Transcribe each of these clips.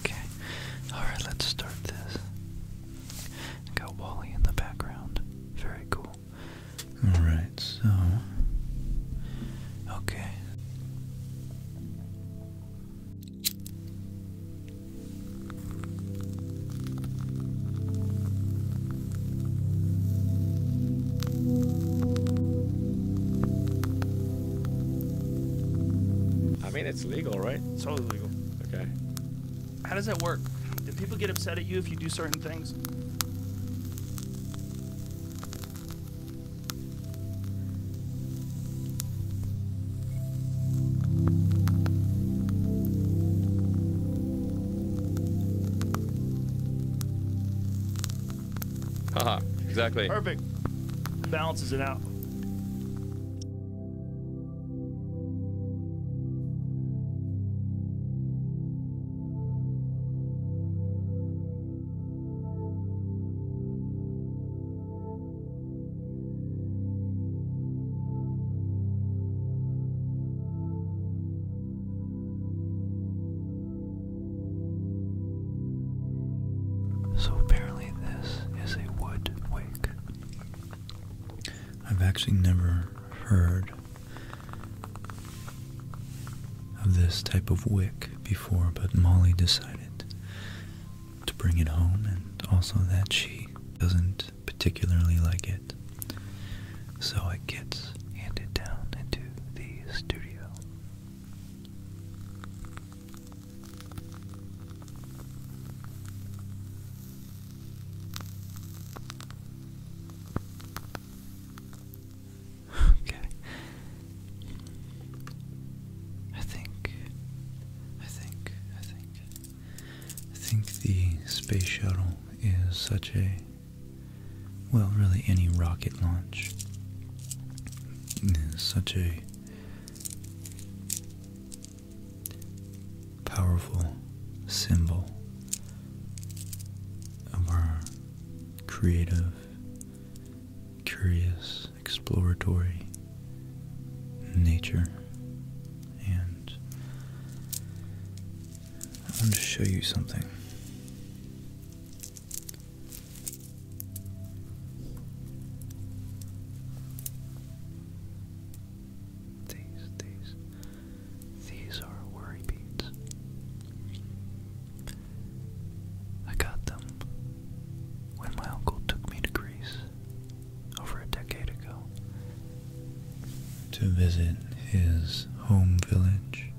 Okay, alright, let's start this. Got Wally in the background. Very cool. Alright, so. Okay. I mean, it's legal, right? It's totally legal. Okay. How does that work? Do people get upset at you if you do certain things? Haha, exactly. Perfect. Balances it out. So apparently this is a wood wick. I've actually never heard of this type of wick before, but Molly decided to bring it home and also that she doesn't particularly like it. So it gets handed down into the studio. Okay. I think, I think, I think, I think the space shuttle is such a, well, really any rocket launch is such a powerful symbol of our creative, curious, exploratory nature. And I want to show you something. These, these, these are worry beads. I got them when my uncle took me to Greece over a decade ago to visit his home village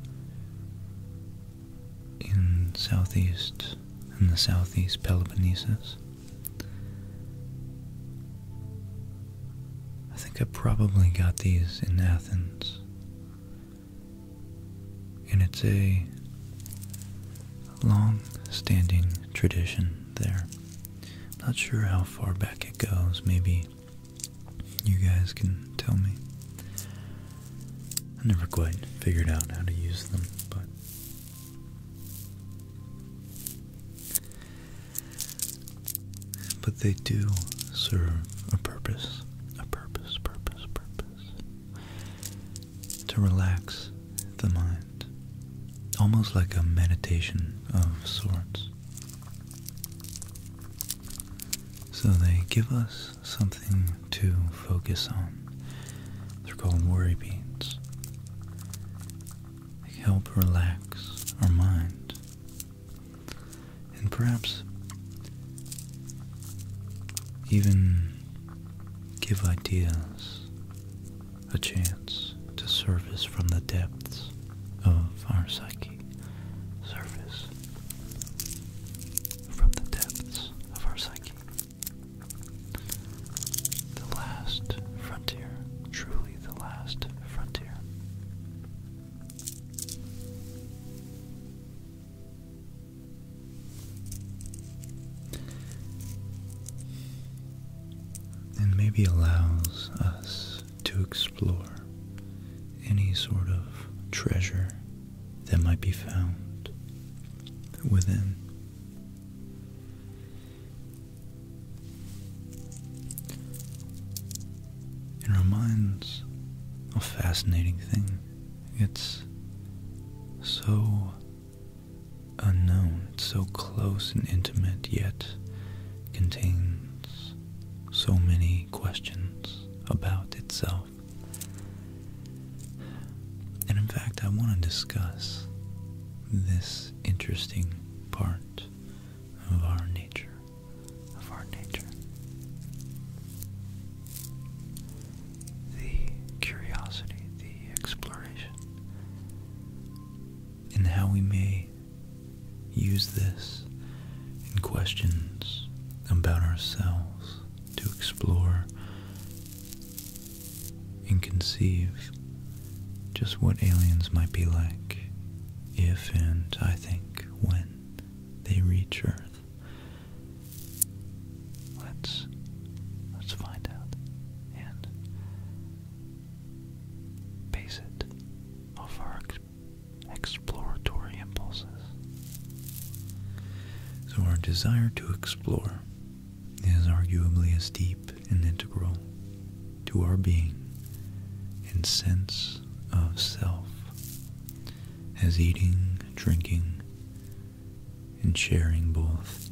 in southeast in the southeast Peloponnese. I think I probably got these in Athens. And it's a long standing tradition there. Not sure how far back it goes, maybe you guys can tell me. I never quite figured out how to use them, but but they do serve a purpose, a purpose, purpose, purpose. To relax the mind, almost like a meditation of sorts. So they give us something to focus on. They're called worry beads. They help relax our mind. And perhaps even give ideas a chance to surface from the depths of our psyche. Surface from the depths of our psyche. The last frontier, truly the last frontier. And maybe allows us to explore any sort of treasure that might be found within it reminds a fascinating thing. It's so unknown, it's so close and intimate, yet contains so many questions about itself. And in fact, I want to discuss this interesting part of our nature, of our nature. The curiosity, the exploration, and how we may use this in questions about ourselves to explore and conceive just what aliens might be like if and I think when they reach Earth. Let's let's find out and base it off our exploratory impulses. So our desire to explore is arguably as deep and integral to our being and sense of self as eating, drinking, and sharing both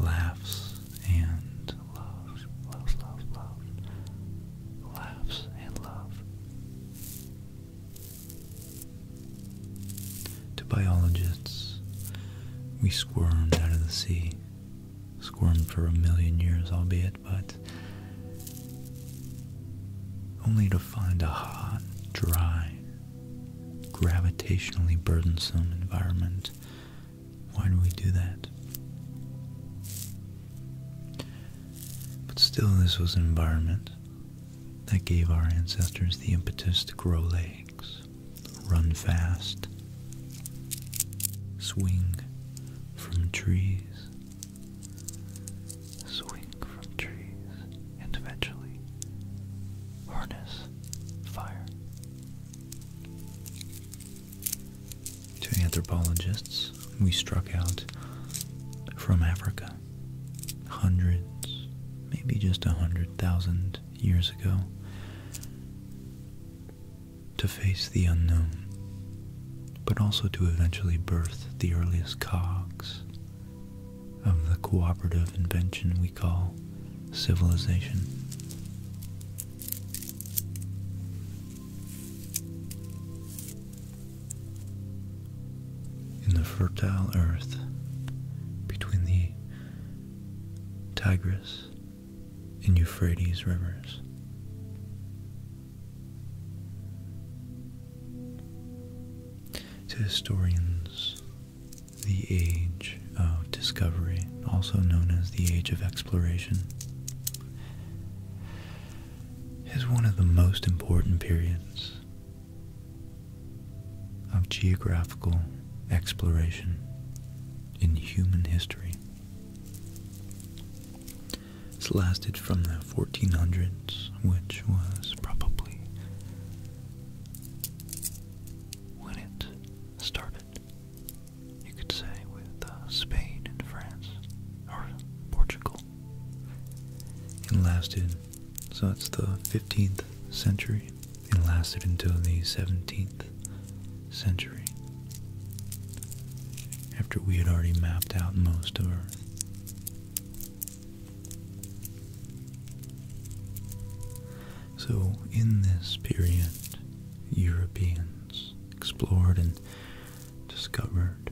laughs and love, laughs and love. To biologists, we squirmed out of the sea. Squirmed for a million years, albeit, but only to find a hot, dry, gravitationally burdensome environment. Why do we do that? But still, this was an environment that gave our ancestors the impetus to grow legs, run fast, swing from trees, swing from trees, and eventually harness fire. To anthropologists, we struck out from Africa. Hundreds, maybe just a hundred thousand years ago, to face the unknown, but also to eventually birth the earliest cogs of the cooperative invention we call civilization. In the fertile earth, between the Tigris, and Euphrates rivers. To historians, the Age of Discovery, also known as the Age of Exploration, is one of the most important periods of geographical exploration in human history. it's lasted from the 1400s, which was probably when it started, you could say, with uh, Spain and France, or Portugal. and lasted, so it's the 15th century and lasted until the 17th century, after we had already mapped out most of Earth. So, in this period, Europeans explored and discovered,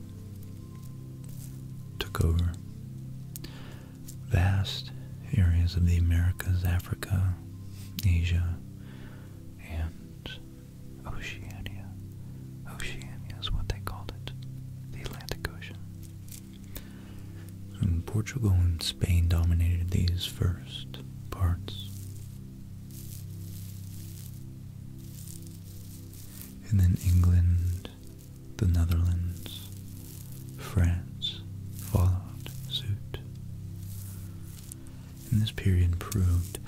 took over, vast areas of the Americas, Africa, Asia, and Oceania. Oceania is what they called it, the Atlantic Ocean. Portugal and Spain dominated these first parts. And then England, the Netherlands, France followed suit. And this period proved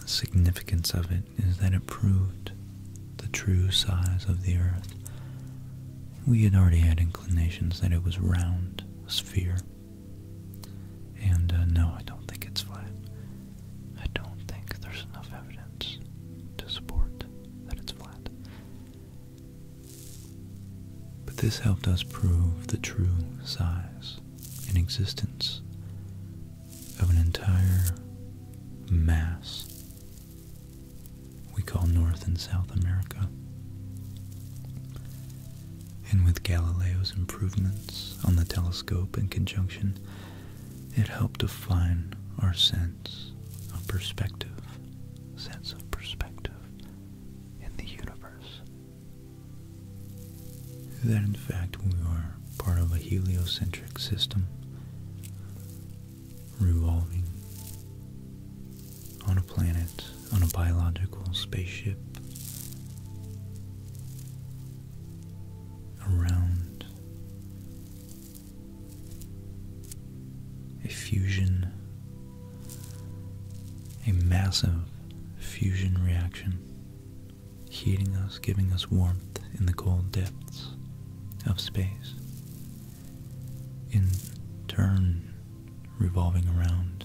the significance of it is that it proved the true size of the earth. We had already had inclinations that it was round, a sphere. And uh, no, I don't think it's flat. I don't think there's enough evidence to support that it's flat. But this helped us prove the true size and existence of an entire mass we call North and South America. And with Galileo's improvements on the telescope in conjunction, it helped define our sense of perspective, sense of perspective, in the universe. That in fact we are part of a heliocentric system revolving on a planet, on a biological spaceship around a fusion a massive fusion reaction, heating us, giving us warmth in the cold depths of space, in turn revolving around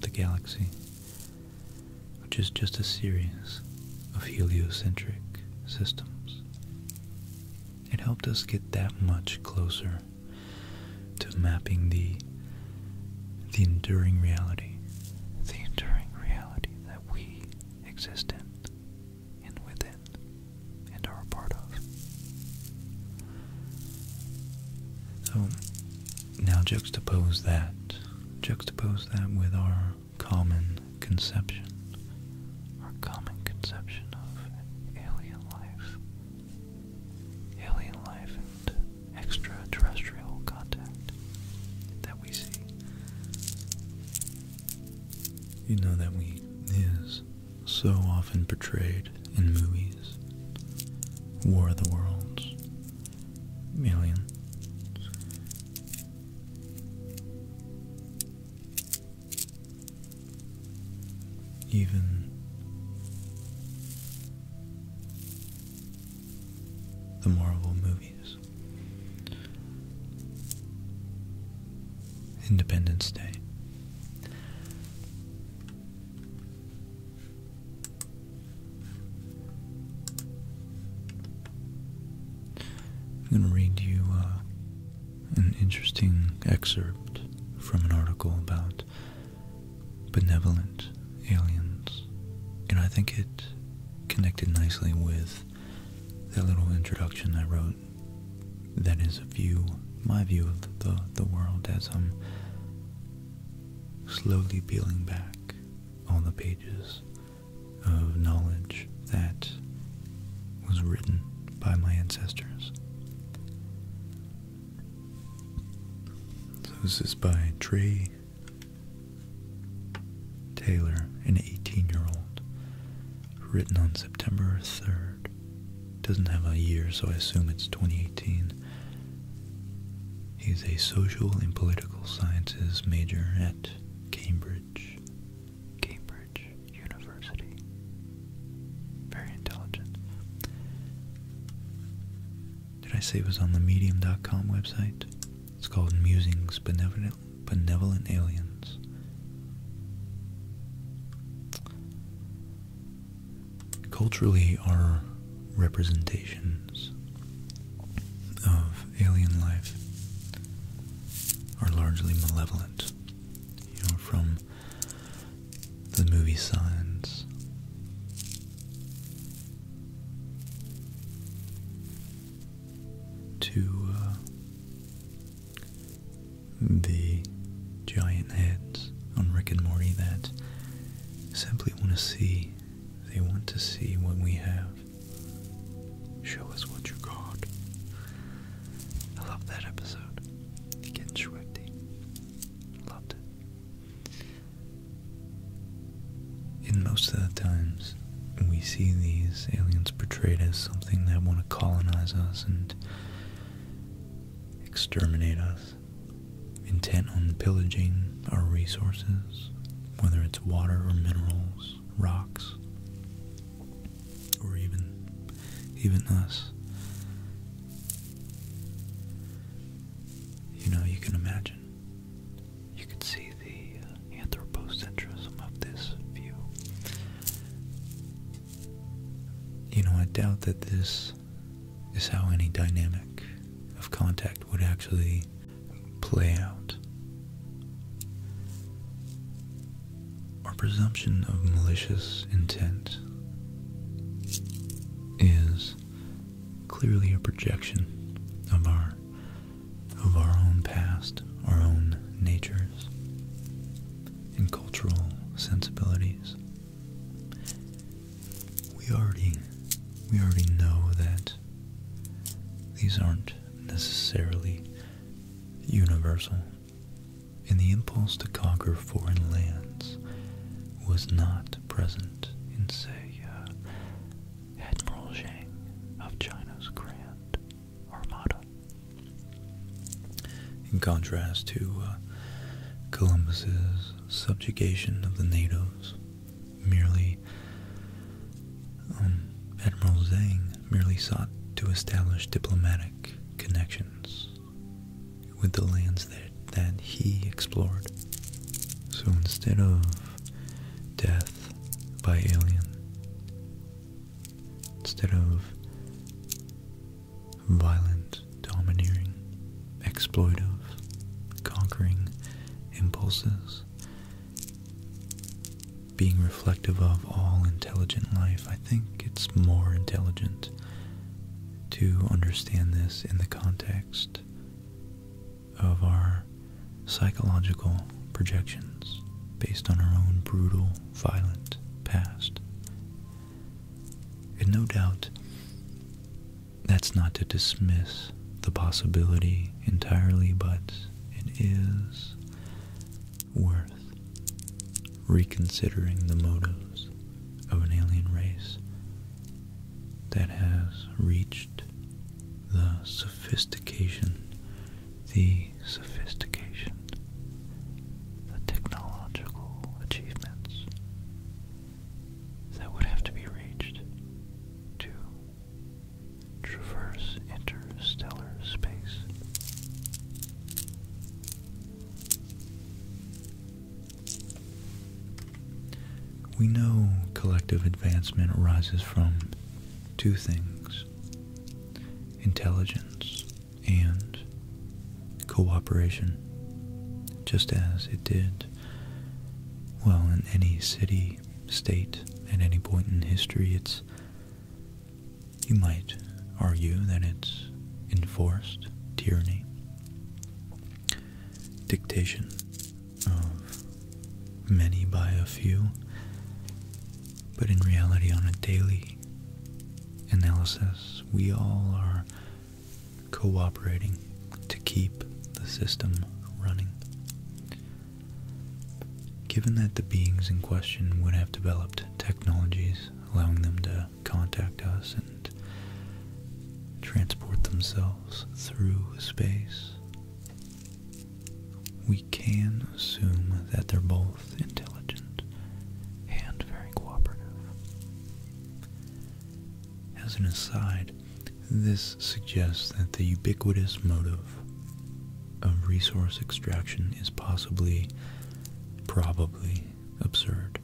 the galaxy, which is just a series of heliocentric systems. It helped us get that much closer to mapping the the enduring reality, the enduring reality that we exist in and within and are a part of. So now juxtapose that, juxtapose that with our common conception, our common conception of alien lives alien life and extraterrestrial contact that we see. You know that we is so often portrayed in movies. War of the Worlds, Alien even the Marvel movies. Independence Day. I'm going to read you uh, an interesting excerpt from an article about benevolent aliens. And I think it connected nicely with that little introduction I wrote that is a view, my view of the, the world as I'm slowly peeling back all the pages of knowledge that was written by my ancestors. So this is by Trey Taylor, an 18-year-old, written on September 3rd. Doesn't have a year, so I assume it's 2018. He's a social and political sciences major at Cambridge, Cambridge University. Very intelligent. Did I say it was on the medium.com website? It's called Musings Benevolent Benevolent Aliens. Culturally, our representations of alien life are largely malevolent. You know, from the movie Signs. To uh, the giant heads on Rick and Morty that simply want to see, they want to see what we have. Show us what you got. I love that episode. It gets in most of the times, we see these aliens portrayed as something that want to colonize us and exterminate us, intent on pillaging our resources, whether it's water or minerals, rocks, or even even us. You know, you can imagine. You can see the uh, anthropocentrism of this view. You know, I doubt that this is how any dynamic of contact would actually play out. Our presumption of malicious intent is clearly a projection of our of our own past, our own natures and cultural sensibilities. We already we already know that these aren't necessarily universal. And the impulse to conquer foreign lands was not present in, say, uh, Admiral Zhang of China's Grand Armada. In contrast to uh, Columbus's subjugation of the natives, merely um, Admiral Zhang merely sought to establish diplomatic connections with the lands that, he explored. So instead of death by alien, instead of violent, domineering, exploitive, conquering impulses, being reflective of all intelligent life, I think it's more intelligent to understand this in the context of our psychological projections based on our own brutal, violent past. And no doubt, that's not to dismiss the possibility entirely, but it is worth reconsidering the motives of an alien race that has reached the sophistication, the sophistication, the technological achievements that would have to be reached to traverse interstellar space. We know collective advancement arises from two things intelligence and cooperation, just as it did, well, in any city, state, at any point in history. It's, you might argue that it's enforced tyranny dictation of many by a few, but in reality, on a daily analysis, we all are cooperating to keep the system running. Given that the beings in question would have developed technologies allowing them to contact us and transport themselves through space. We can assume that they're both intelligent and very cooperative. As an aside, this suggests that the ubiquitous motive of resource extraction is possibly, probably absurd.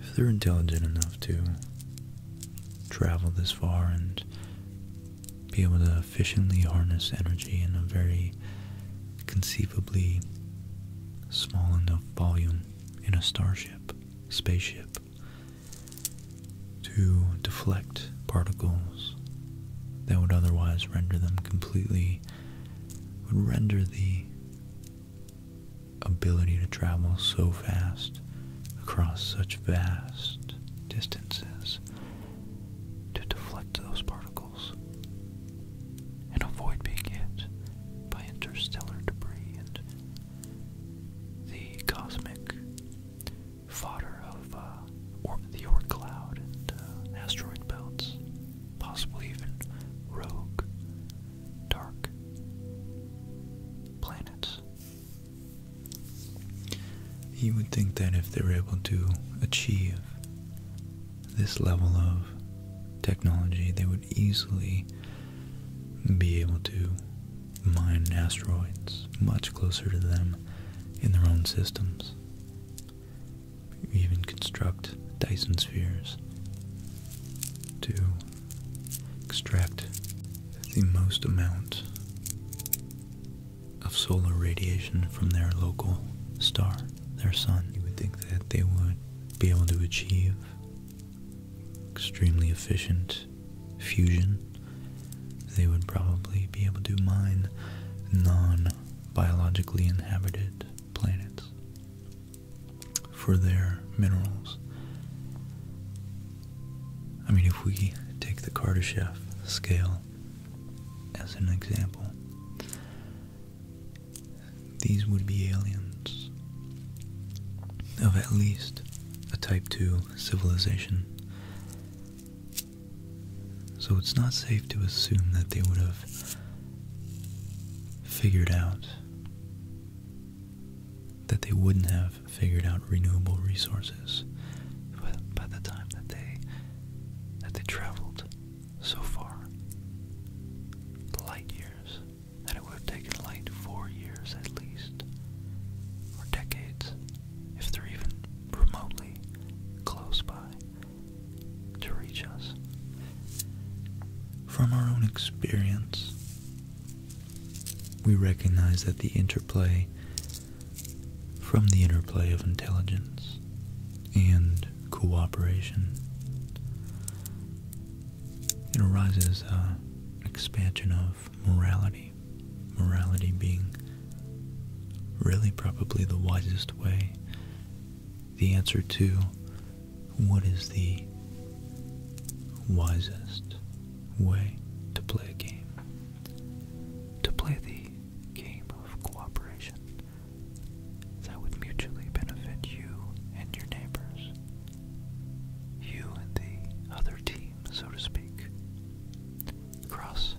If they're intelligent enough to travel this far and be able to efficiently harness energy in a very conceivably small enough volume in a starship, spaceship, to deflect particles that would otherwise render them completely would render the ability to travel so fast across such vast distances to deflect those particles and avoid being hit by interstellar debris and the cosmic fodder of uh, or the Oort cloud and uh, asteroid belts possibly even rogue, dark planets. You would think that if they were able to achieve this level of technology, they would easily be able to mine asteroids much closer to them in their own systems even construct Dyson spheres to extract the most amount of solar radiation from their local star, their sun. You would think that they would be able to achieve extremely efficient fusion. They would probably be able to mine non biologically inhabited planets for their minerals. I mean, if we take the Kardashev scale as an example, these would be aliens of at least a Type 2 civilization so it's not safe to assume that they would have figured out that they wouldn't have figured out renewable resources by the time that they that they traveled so far light years that it would have taken light four years at least or decades if they're even remotely close by to reach us from our own experience. We recognize that the interplay from the interplay of intelligence and cooperation. It arises an expansion of morality, morality being really probably the wisest way the answer to what is the wisest way to play a game. To play the game of cooperation that would mutually benefit you and your neighbors, you and the other team, so to speak. Cross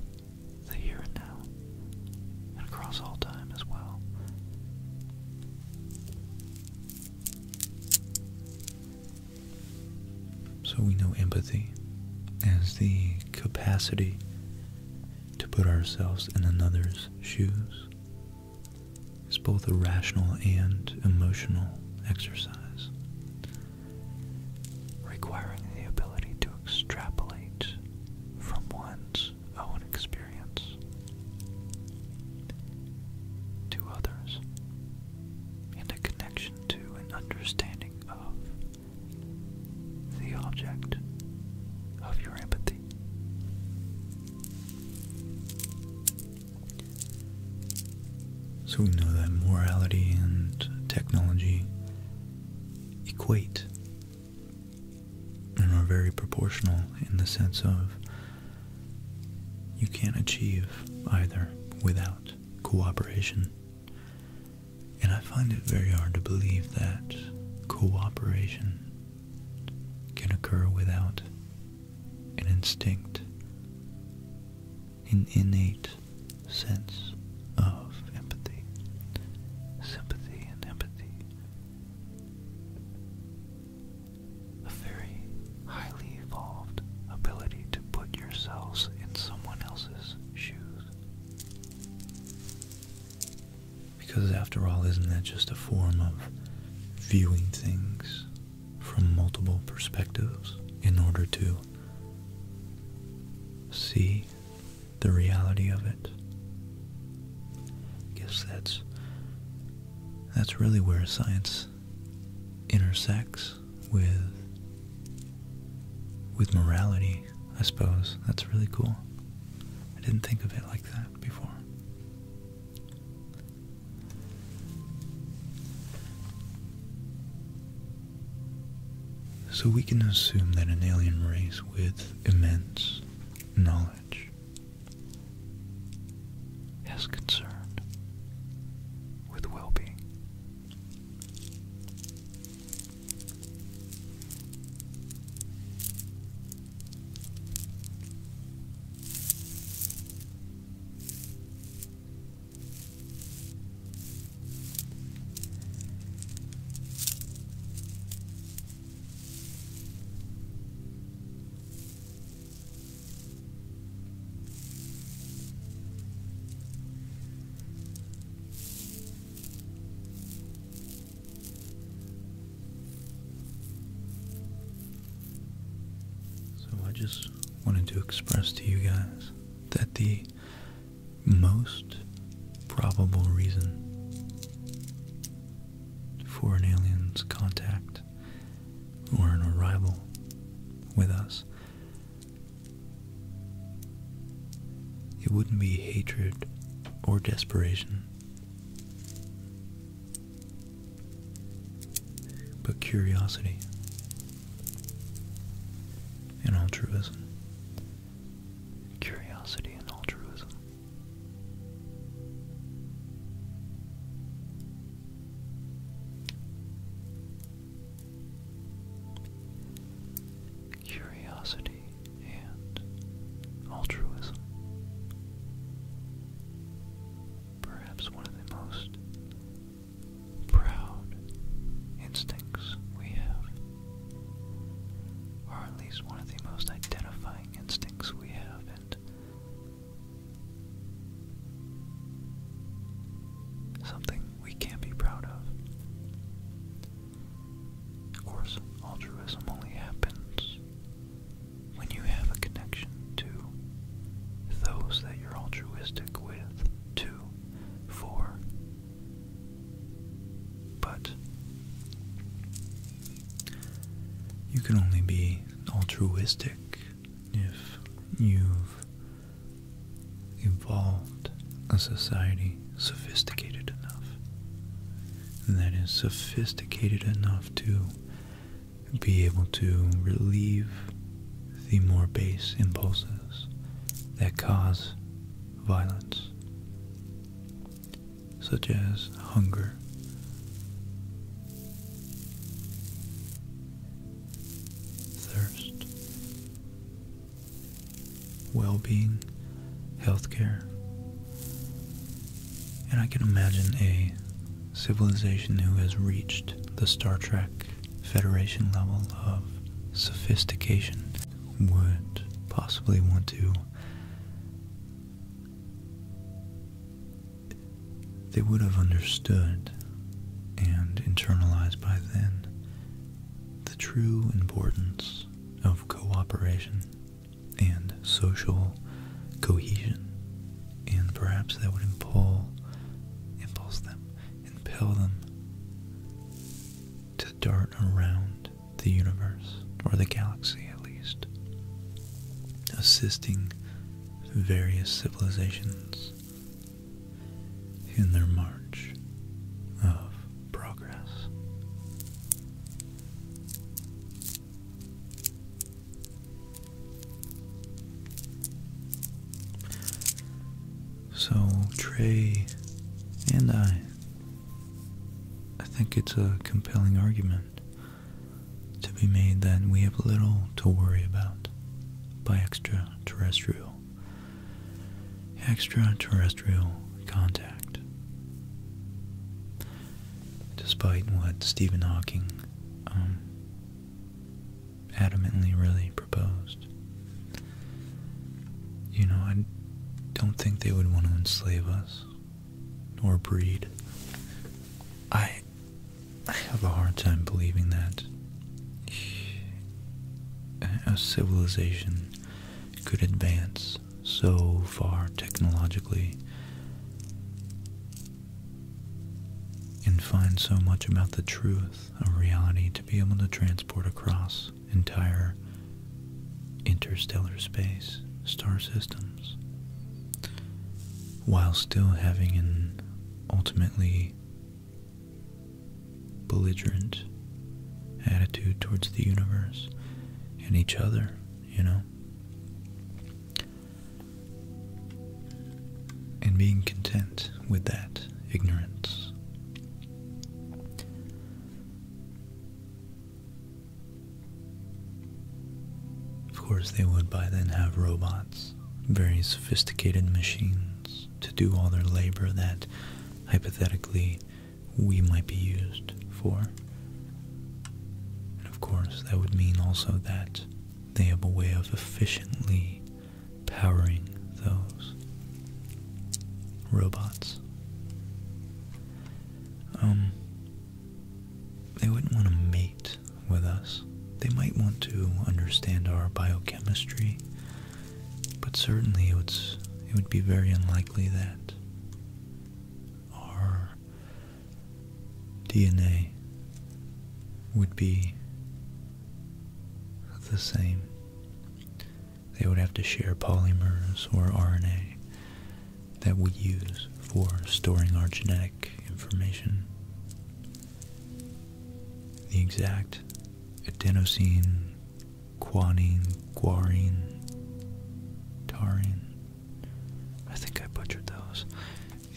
the here and now, and across all time as well. So we know empathy as the capacity to put ourselves in another's shoes. It's both a rational and emotional exercise, requiring the ability to extrapolate from one's own experience to others and a connection to an understanding of the object of your empathy. So we know that morality and technology equate and are very proportional in the sense of you can't achieve either without cooperation. And I find it very hard to believe that cooperation can occur without an instinct, an innate sense of empathy, sympathy and empathy, a very highly evolved ability to put yourselves in someone else's shoes. Because, after all, isn't that just a form of viewing things from multiple perspectives in order to see the reality of it. I guess that's that's really where science intersects with with morality, I suppose. That's really cool. I didn't think of it like that before. So we can assume that an alien race with immense knowledge is concerned with well being. So I just wanted to express to you guys that the most probable reason for an alien's contact or an arrival with us. It wouldn't be hatred or desperation, but curiosity and altruism. Curiosity and altruism. Curiosity and altruism. Perhaps one of the most proud instincts we have, or at least one of the most identifying instincts we have and something we can not be proud of. Of course, altruism only happens when you have a connection to those that you're altruistic with, to, for. But you can only be altruistic if you've evolved a society sophisticated enough. that is sophisticated enough to be able to relieve the more base impulses that cause violence such as hunger. Thirst, well being, healthcare. And I can imagine a civilization who has reached the Star Trek Federation level of sophistication would possibly want to they would have understood and internalized by then the true importance of cooperation and social cohesion, and perhaps that would impel, impulse them, impel them to dart around the universe, or the galaxy at least, assisting various civilizations in their march of progress. So, Trey and I, I think it's a compelling argument to be made then we have little to worry about by extraterrestrial extraterrestrial contact. Despite what Stephen Hawking um, adamantly really proposed, you know, I don't think they would want to enslave us nor breed. I I have a hard time believing that a civilization could advance so far technologically and find so much about the truth of reality to be able to transport across entire interstellar space, star systems while still having an ultimately belligerent attitude towards the universe and each other, you know? And being content with that ignorance. Of course, they would by then have robots, very sophisticated machines to do all their labor that hypothetically we might be used for. And of course, that would mean also that they have a way of efficiently powering those robots. Um, they wouldn't want to mate with us. They might want to understand our biochemistry, but certainly it would, it would be very unlikely that our DNA would be the same. They would have to share polymers or RNA that we use for storing our genetic information. The exact adenosine, guanine, guarine, taurine, I think I butchered those,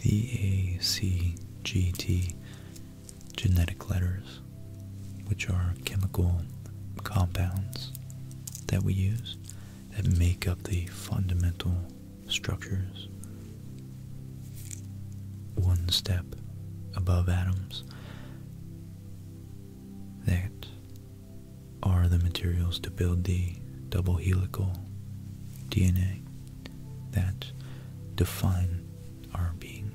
the A, C, G, T genetic letters, which are chemical compounds that we use that make up the fundamental structures one step above atoms that are the materials to build the double helical DNA that define our being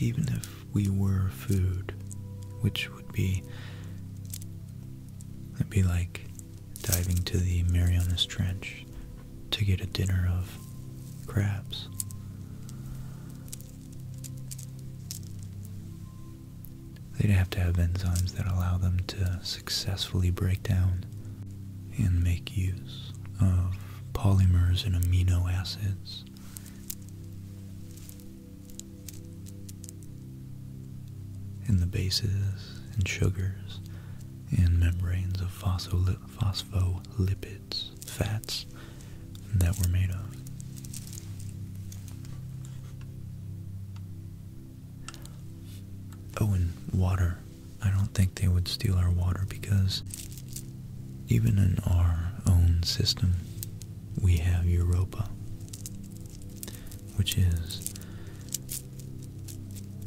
even if we were food, which would be. It'd be like diving to the Marianas Trench to get a dinner of crabs. They'd have to have enzymes that allow them to successfully break down and make use of polymers and amino acids. And the bases and sugars and membranes of phospholipids, fats that were made of. Oh, and water. I don't think they would steal our water because even in our own system, we have Europa, which is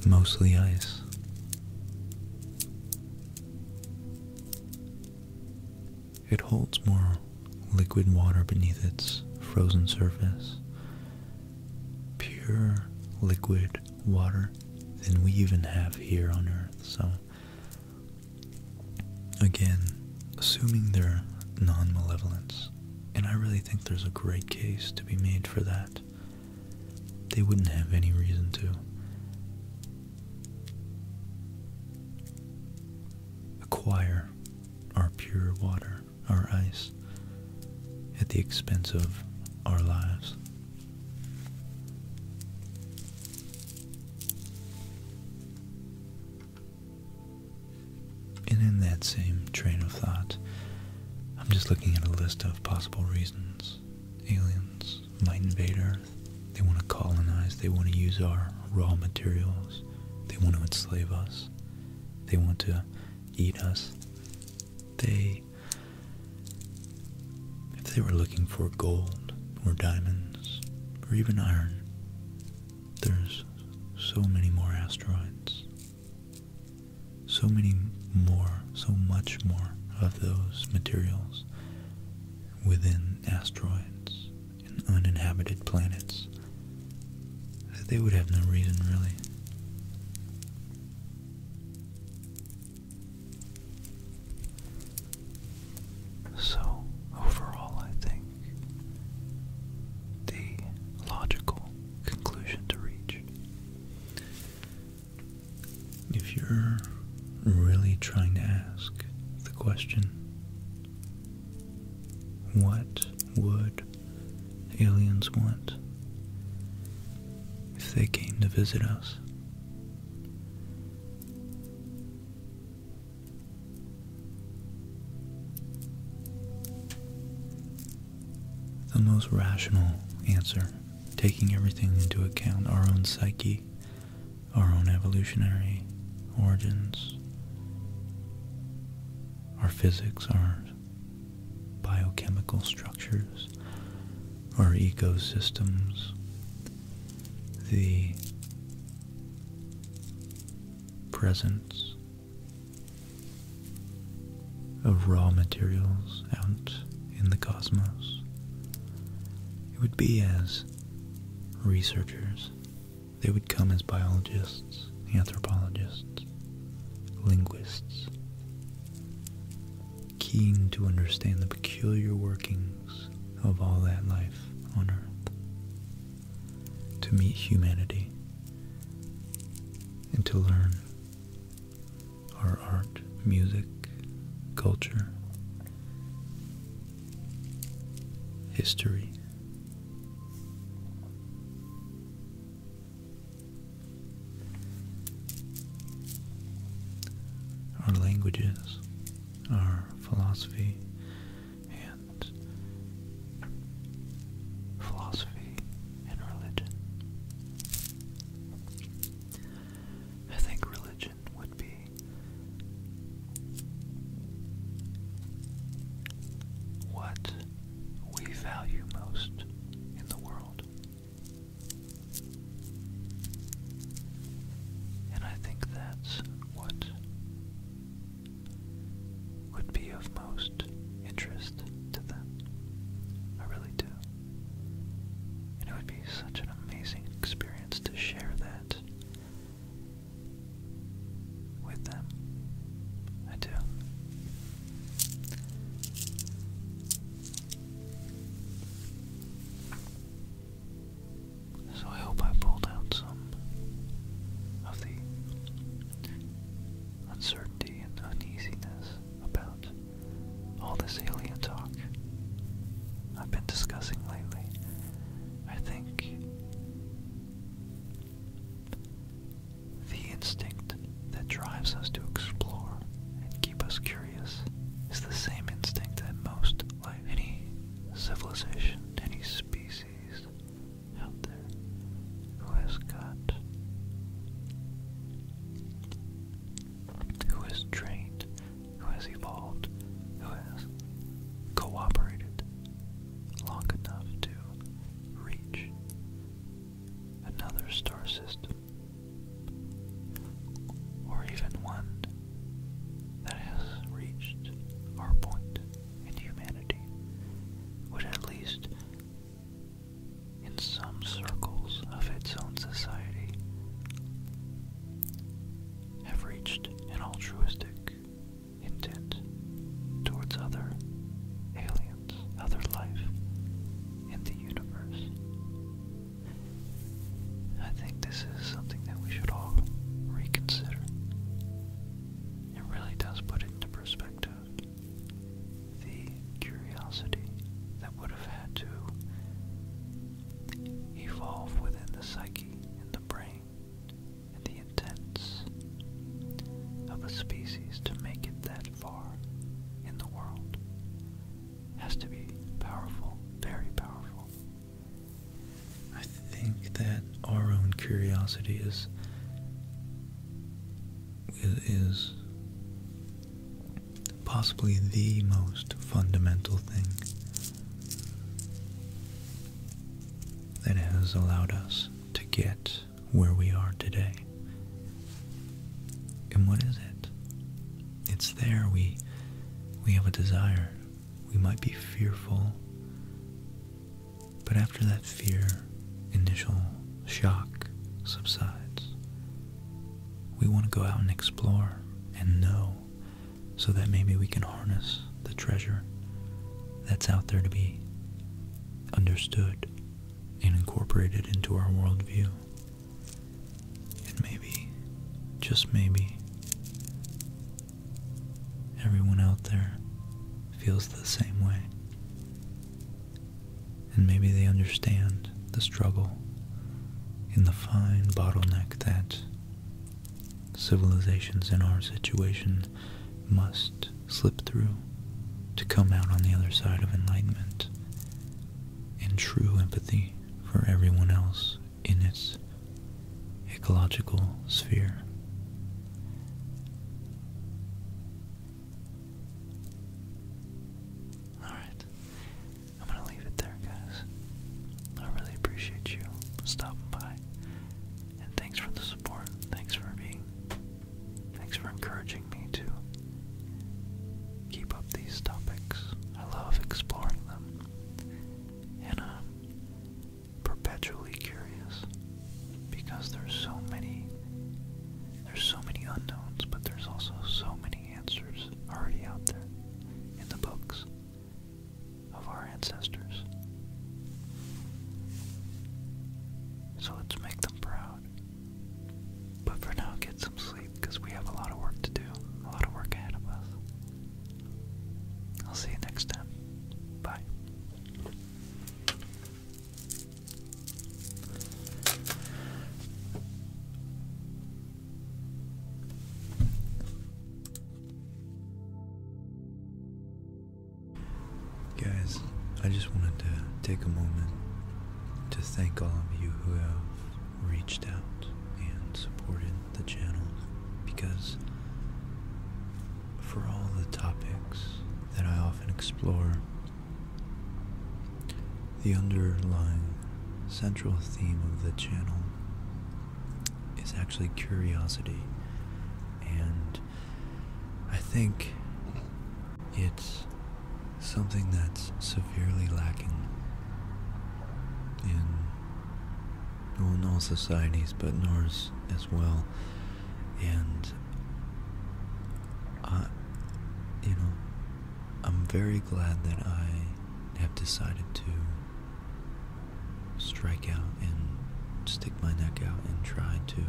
mostly ice. It holds more liquid water beneath its frozen surface pure liquid water than we even have here on Earth. So, again, assuming they're non malevolence, and I really think there's a great case to be made for that, they wouldn't have any reason to. Acquire our pure water our ice at the expense of our lives. And in that same train of thought, I'm just looking at a list of possible reasons aliens might invade Earth. They want to colonize, they want to use our raw materials, they want to enslave us, they want to eat us, they if they were looking for gold or diamonds or even iron, there's so many more asteroids. So many more, so much more of those materials within asteroids and uninhabited planets that they would have no reason really so, overall, I think the logical conclusion to reach. If you're really trying to ask the question, what would aliens want if they came to visit us. The most rational answer, taking everything into account our own psyche, our own evolutionary origins, our physics, our biochemical structures or ecosystems, the presence of raw materials out in the cosmos. It would be as researchers, they would come as biologists, anthropologists, linguists, keen to understand the peculiar workings of all that life on earth, to meet humanity, and to learn our art, music, culture, history, our languages, our philosophy, and philosophy and religion. I think religion would be what we value most in the world. And I think that's what would be of most interest to them. I really do. And it would be such an amazing experience to share that with them. I do. So I hope I pulled out some of the uncertainty and uneasiness about all this alien talk I've been discussing lately. I think the instinct that drives us to explore and keep us curious is the same instinct that most life, any civilization, any species out there who has got, who has trained, who has evolved, who has cooperated long enough to reach another star system or even one that has reached our point in humanity would at least in some circles of its own society have reached an altruistic intent towards other aliens other life in the universe. I think this is something that we should all reconsider. It really does put into perspective the curiosity that would have had to evolve within the psyche and the brain and the intents of a species to make it that far in the world. Has to be powerful, very powerful. I think that our own curiosity is is possibly the most fundamental thing that has allowed us to get where we are today. And what is it? It's there. We we have a desire. We might be fearful. But after that fear initial shock subsides, we want to go out and explore and know so that maybe we can harness the treasure that's out there to be understood and incorporated into our worldview and maybe, just maybe, everyone out there feels the same way. And maybe they understand the struggle in the fine bottleneck that civilizations in our situation must slip through to come out on the other side of enlightenment and true empathy for everyone else in its ecological sphere. Alright, I'm gonna leave it there, guys. I really appreciate you stopping by. And thanks for the support. Thanks for being Thanks for encouraging me to keep up these topics. I love exploring them. And I'm perpetually curious because there's so many there's so many unknowns, but there's also so many answers already out there in the books of our ancestors. So let's make them proud. But for now, get some sleep because we have a lot of work to do, a lot of work ahead of us. I'll see you next time. Bye. Guys, I just wanted to take a moment to thank all of you who have reached out and supported the channel because for all the topics that I often explore, the underlying central theme of the channel is actually curiosity, and I think it's something that's severely lacking in, well, in all societies, but in ours as well. And I, you know, I'm very glad that I have decided to strike out and stick my neck out and try to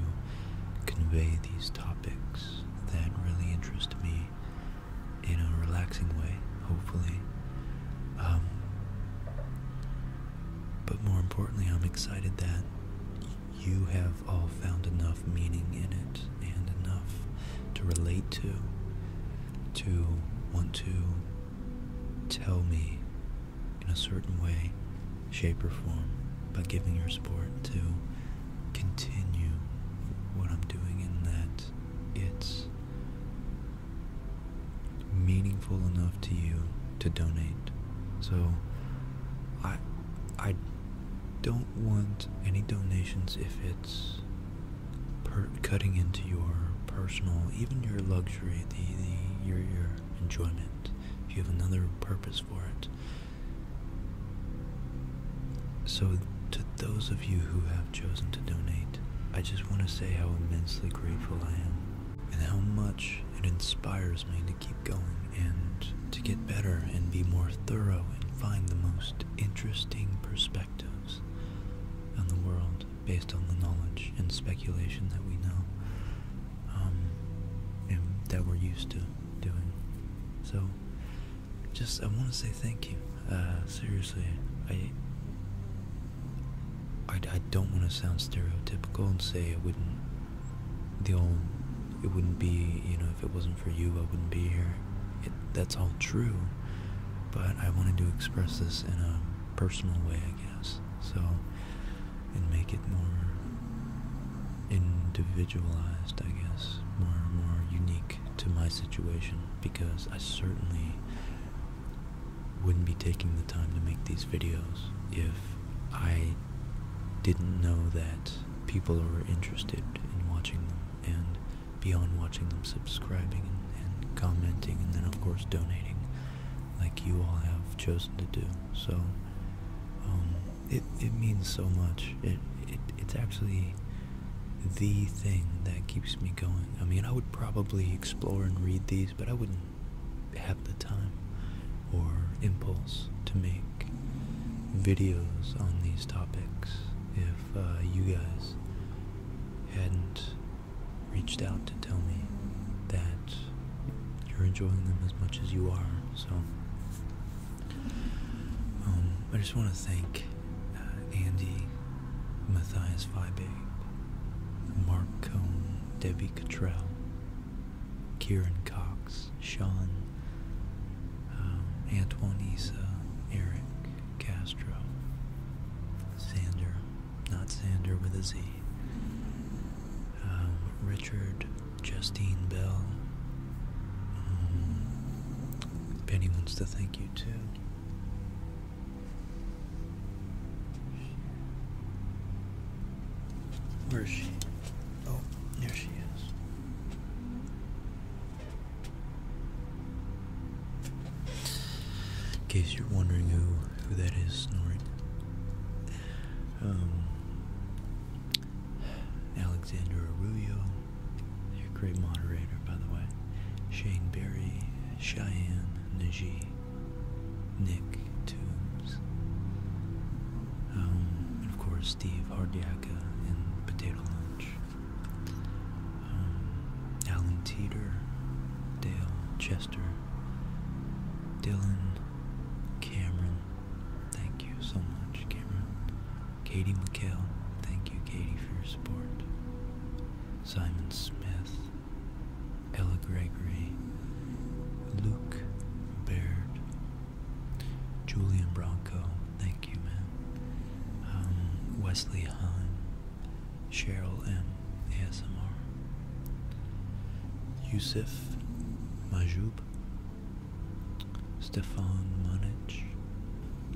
convey these topics that really interest me in a relaxing way, hopefully. Um, but more importantly, I'm excited that you have all found enough meaning in it and enough to relate to, to want to tell me in a certain way, shape, or form by giving your support to continue what I'm doing in that it's meaningful enough to you to donate. So I I don't want any donations if it's per cutting into your personal, even your luxury, the your your enjoyment. If you have another purpose for it, so, to those of you who have chosen to donate, I just want to say how immensely grateful I am and how much it inspires me to keep going and to get better and be more thorough and find the most interesting perspectives on the world based on the knowledge and speculation that we know um, and that we're used to doing. So, just I want to say thank you. Uh, seriously, I, I, don't want to sound stereotypical and say it wouldn't. The old, it wouldn't be. You know, if it wasn't for you, I wouldn't be here. that's all true, but I wanted to express this in a personal way, I guess. So, and make it more individualized, I guess, more more unique to my situation because I certainly wouldn't be taking the time to make these videos if I didn't know that people are interested in watching them and beyond watching them subscribing and, commenting and then of course donating like you all have chosen to do so um, it, it means so much it, it, it's actually the thing that keeps me going. I mean, I would probably explore and read these, but I wouldn't have the time or impulse to make videos on these topics if uh, you guys hadn't reached out to tell me that you're enjoying them as much as you are. So um, I just want to thank uh, Andy, Matthias Vibe, Mark Cohn, Debbie Cottrell, Kieran Cox, Sean, um, Antoine Issa, Eric Castro, Sander, not Sander with a Z, um, Richard, Justine Bell, Penny wants to thank you too. Where is she? Oh, there she is. In case you're wondering who, who that is snoring. Um, Alexander Arroyo you're great moderator, by the way. Shane Barry, Cheyenne, Najee, Nick Toombs, um, and of course Steve Hardiaka and Potato Lunch, um, Alan Teeter, Dale Chester, Dylan, Cameron. Thank you so much, Cameron. Katie McHale, thank you, Katie, for your support. Simon Smith, Ella Gregory, Luke Baird, Julian Bronco, thank you, man. Um, Wesley Hine, Cheryl M. ASMR, Yusuf Majub, Stefan Munich,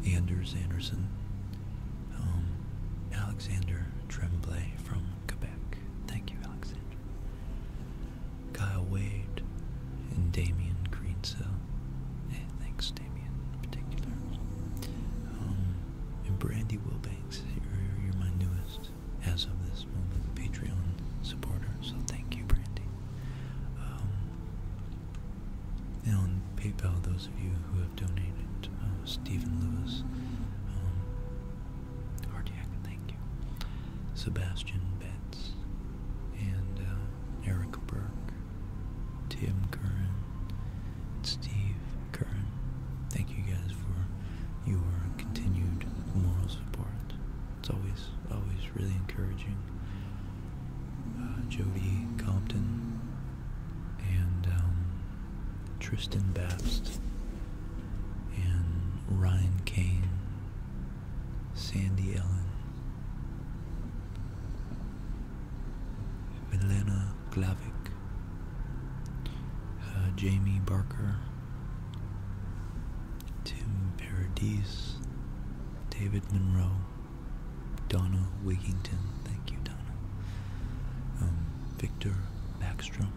Anders Anderson, um, Alexander Tremblay from Quebec. Thank you, Alexander. Kyle Wade and Damien Greensell. thanks, Damien, in particular. Um, and Brandy Wilbanks, you're, my newest, as of this moment, Patreon supporter. So thank you, Brandy. Um, on PayPal, those of you who have donated, uh, Stephen Lewis, um, thank you, Sebastian Betz and uh, Eric Burke, Tim Curran, Steve Curran. Thank you guys for your continued moral support. It's always, always really encouraging uh, Jody Compton, and um, Tristan Babst, and Ryan Kane, Sandy Ellen, Milena Glavic, uh, Jamie Barker, Tim Paradis, David Monroe. Donna Wigington, thank you, Donna. Um, Victor Backstrom,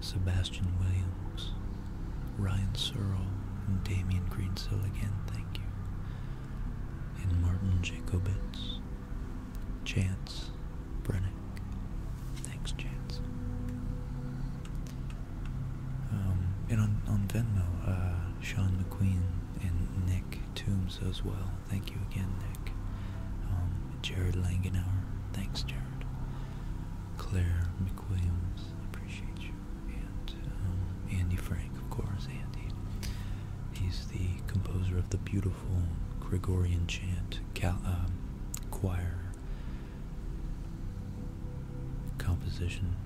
Sebastian Williams, Ryan Searle, and Damian Greensill again, thank you. And Martin Jacobitz, Chance Brennick, thanks, Chance. Um, and on, on Venmo, uh, Sean McQueen and Nick Toombs as well. Thank you again, Nick. Um, Jared Langenauer, thanks, Jared. Claire McWilliams, appreciate you. And um, Andy Frank, of course, Andy. He's the composer of the beautiful Gregorian chant um, choir composition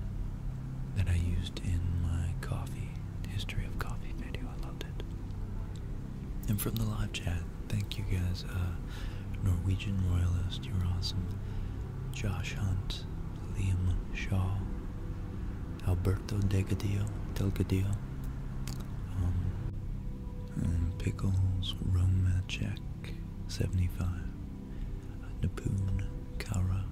that I used in my coffee history of coffee video. I loved it. And from the live chat, thank you guys. Uh, Norwegian Royalist, you're awesome. Josh Hunt, Liam Shaw, Alberto Delgadillo, Delgadillo, um, and Pickles Romachek, 75. Napoon Kara.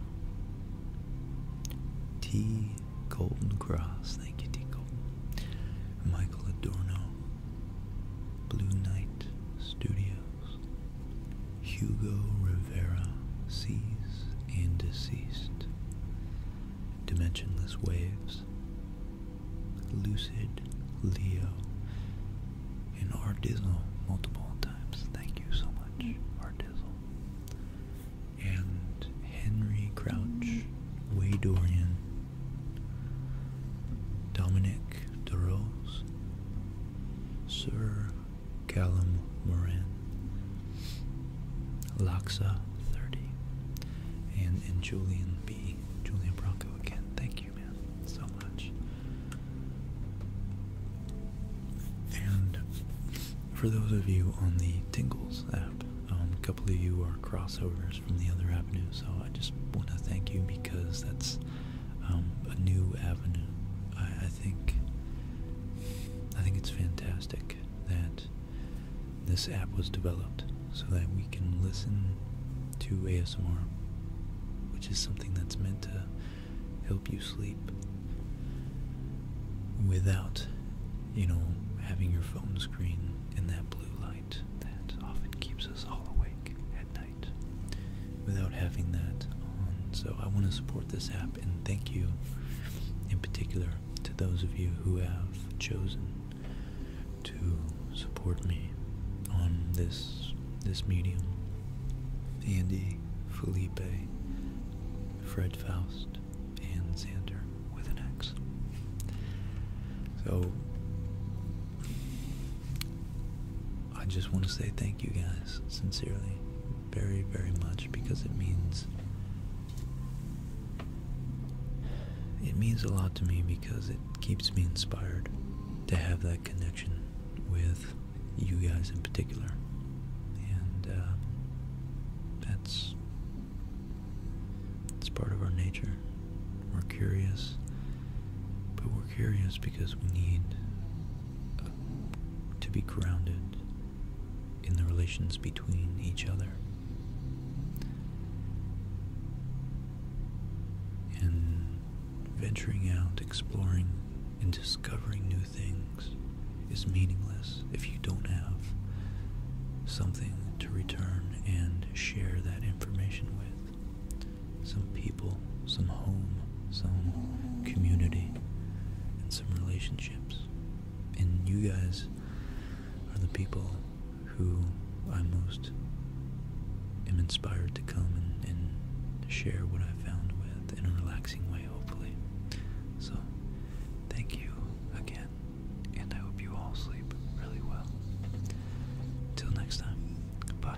T. Golden Cross. Thank you, T. Golden. Michael Adorno. Blue Night Studios. Hugo Rivera. sees and Deceased. Dimensionless Waves. Lucid Leo. And Artizzle multiple times. Thank you so much, Artizzle and Henry Crouch, Way Dorian, Dominic DeRose, Sir Callum Moran, Laksa 30, and, and Julian B. Julian Bronco again. Thank you, man, so much. And for those of you on the Tingles app, um, a couple of you are crossovers from the other avenue, so I just want to thank you because that's um, a new avenue. I, I think I think it's fantastic that this app was developed so that we can listen to ASMR, which is something that's meant to help you sleep without, you know, having your phone screen in that blue light that often keeps us all awake at night. Without having that on. So I want to support this app and thank you in particular to those of you who have chosen to support me on this this medium. Andy, Felipe, Fred Faust, and Xander with an X. So, I just want to say thank you guys, sincerely, very, very much, because it means. It means a lot to me because it keeps me inspired to have that connection with you guys in particular, and uh, that's it's part of our nature. We're curious, but we're curious because we need uh, to be grounded in the relations between each other. And venturing out, exploring, and discovering new things things is meaningless if you don't have something to return and share that information with. Some people, some home, some community, and some relationships. And you guys are the people who I most am inspired to come and, share what i found with in a relaxing way, hopefully. So, Thank you again, and I hope you all sleep really well. Till next time, bye.